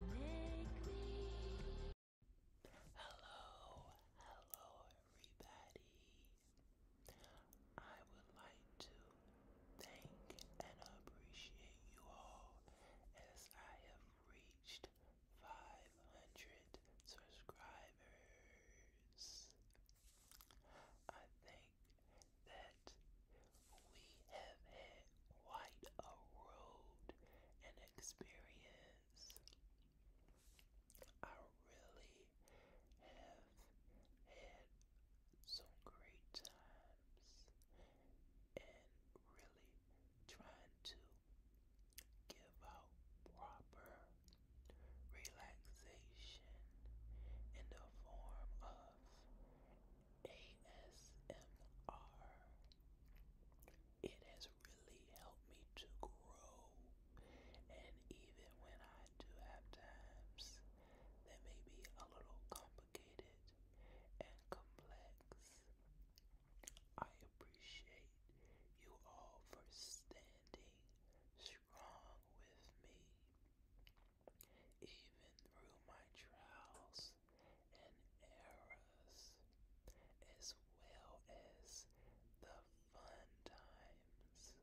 Hello, hello, everybody. I would like to thank and appreciate you all as I have reached 500 subscribers. I think that we have had quite a road and experience. I really have had some great times and really trying to give out proper relaxation in the form of ASMR. It has really helped me to grow. And even when I do have times that may be a little complicated and complex, I appreciate you all for standing strong with me even through my trials and errors, as well as the fun times.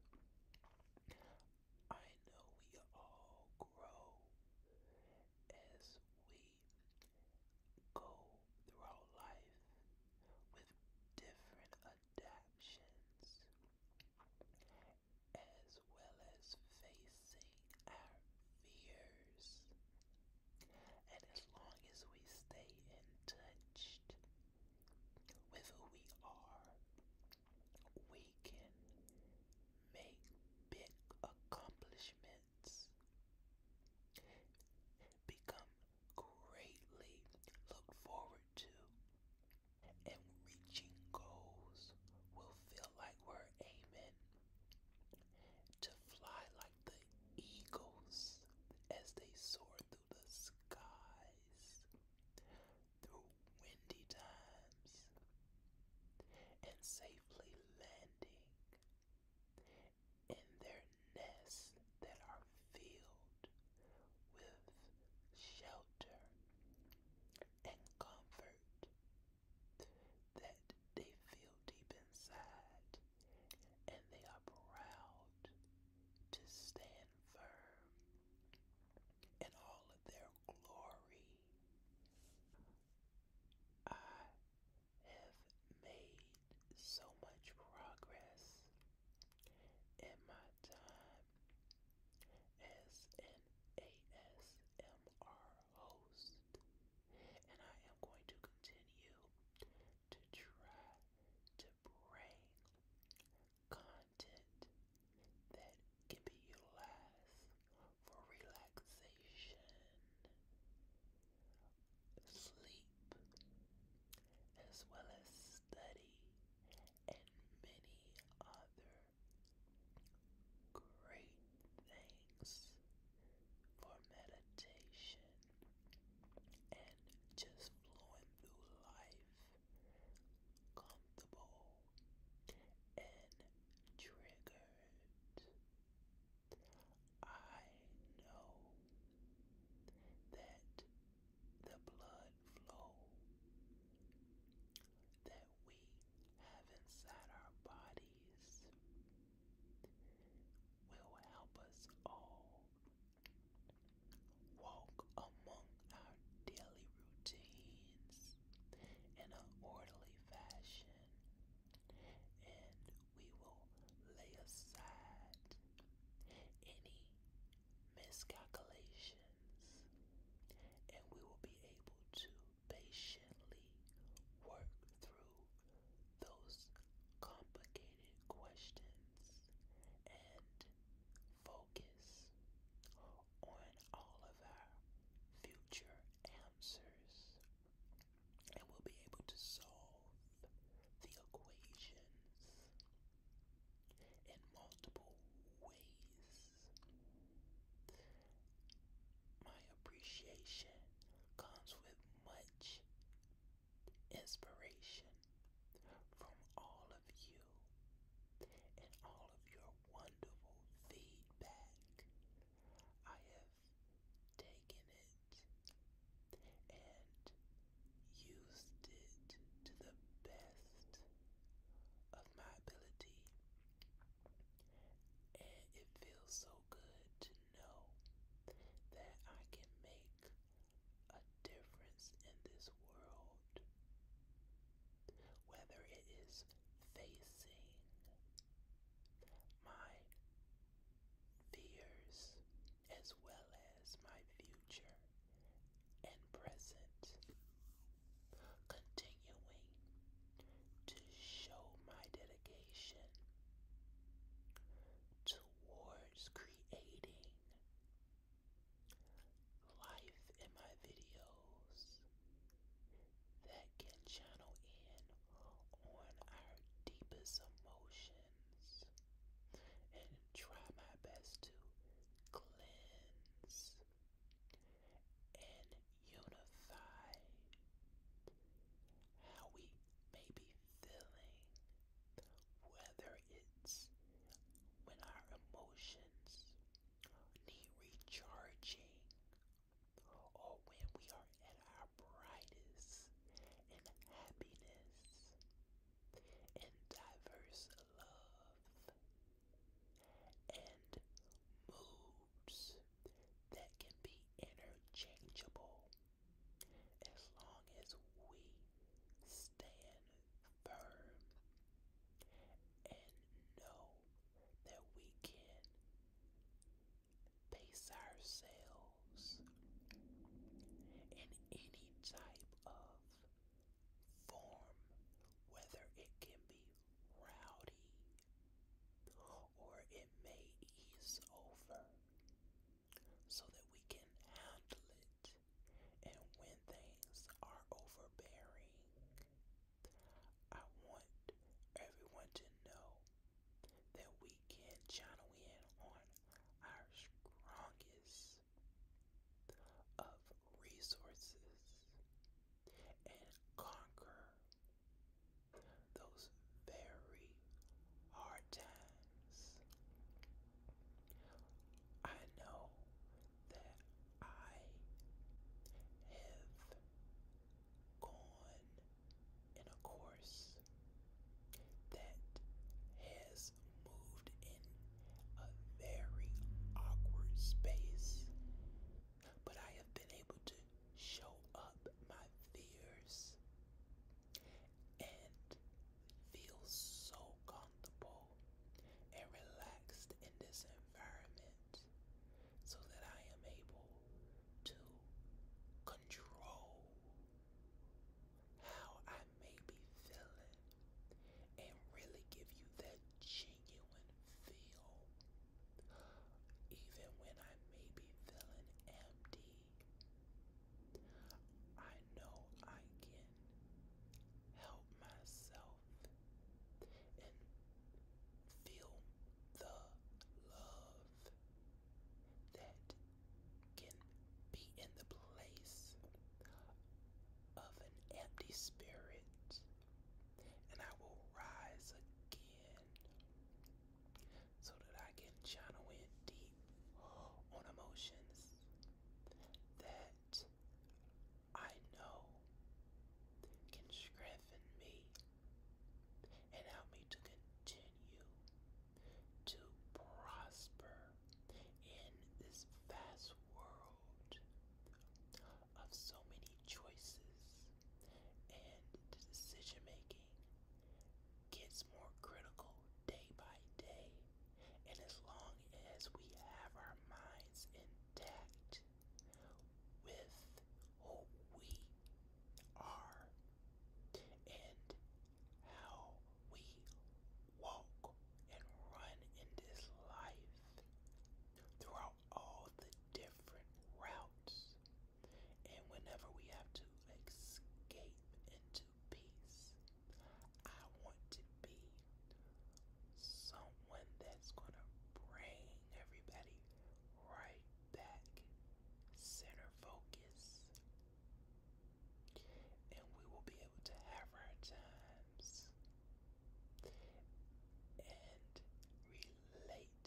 I know we all grow as we go throughout life with different adaptions as well as facing our fears. And as long as we stay in touch with who we are, we can make big accomplishments, become greatly looked forward to, and reaching goals will feel like we're aiming to fly like the eagles as they soar through the skies, through windy times, and safely landing in their nests that are filled with shelter and comfort that they feel deep inside, and they are proud to stand firm in all of their glory. I have made so much progress in my time as host, and I am going to continue to try to bring content that can be utilized for relaxation, sleep, as well as study and many other Great thanks for meditation and just flowing through life comfortable and triggered. I know that the blood flow that we have inside our bodies will help us all walk among our daily routines in an orderly fashion and we will lay aside any miscalculations, and we will be able to patiently work through those complicated questions and focus on all of our future answers and we'll be able to solve the equations in multiple ways. My appreciation comes with much inspiration from all of you and all of your wonderful feedback. I have taken it and used it to the best of my ability. And it feels so good to know that I can make a difference in this world. Whether it is facing my fears as well as my future and present, continuing to show my dedication towards creating life in my videos that can channel in on our deepest emotions and try my best to cleanse and unify how we may be feeling, whether it's when our emotions need recharging or when we are at our brightest and happiness and diverse love and moods that can be interchangeable as long as we stand firm and know that we can pace ourselves in any type of form, whether it can be rowdy or it may ease over so that we can handle it. And when things are overbearing, I want everyone to know that we can channel in on our strongest of resources and conquer those very hard times. I know that I have gone in a course that has moved in a very awkward space, but I have been able to show up my fears and feel so comfortable and relaxed in this environment so that I am able to control how I may be feeling and really give you that genuine feel. Even when I may be feeling empty, I know I can help myself and feel the love that can be in the place of an empty spirit, and I will rise again so that I can channel in deep emotions that I know can strengthen me and help me to continue to prosper in this vast world of so many choices and decision making gets more critical day by day and as long as we have our minds intact with who we are and how we walk and run in this life throughout all the different routes. And whenever we have to escape into peace, I want to be someone that's going to bring everybody right back, center focus, and we will be able to have our times and relate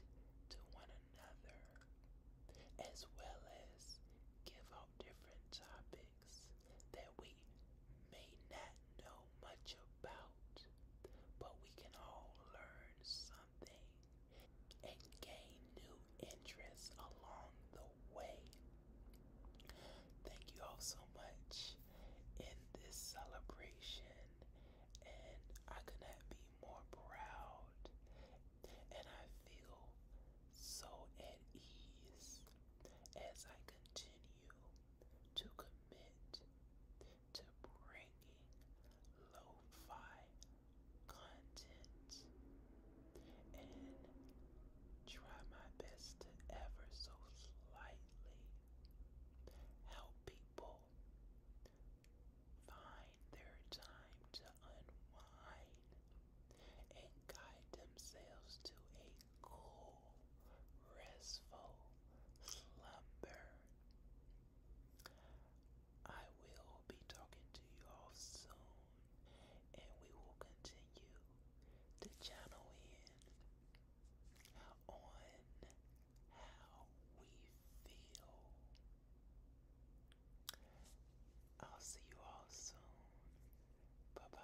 to one another, as well as give out different topics that we may not know much about, but we can all learn something and gain new interests along the way. Thank you all so much in this celebration, and I could be more proud. And I feel so at ease as I continue to commit to bringing lo-fi content and try my best to ever so slightly help people find their time to unwind and guide themselves to a cool, restful slumber. I will be talking to you all soon, and we will continue to channel in on how we feel. I'll see you all soon. Bye bye.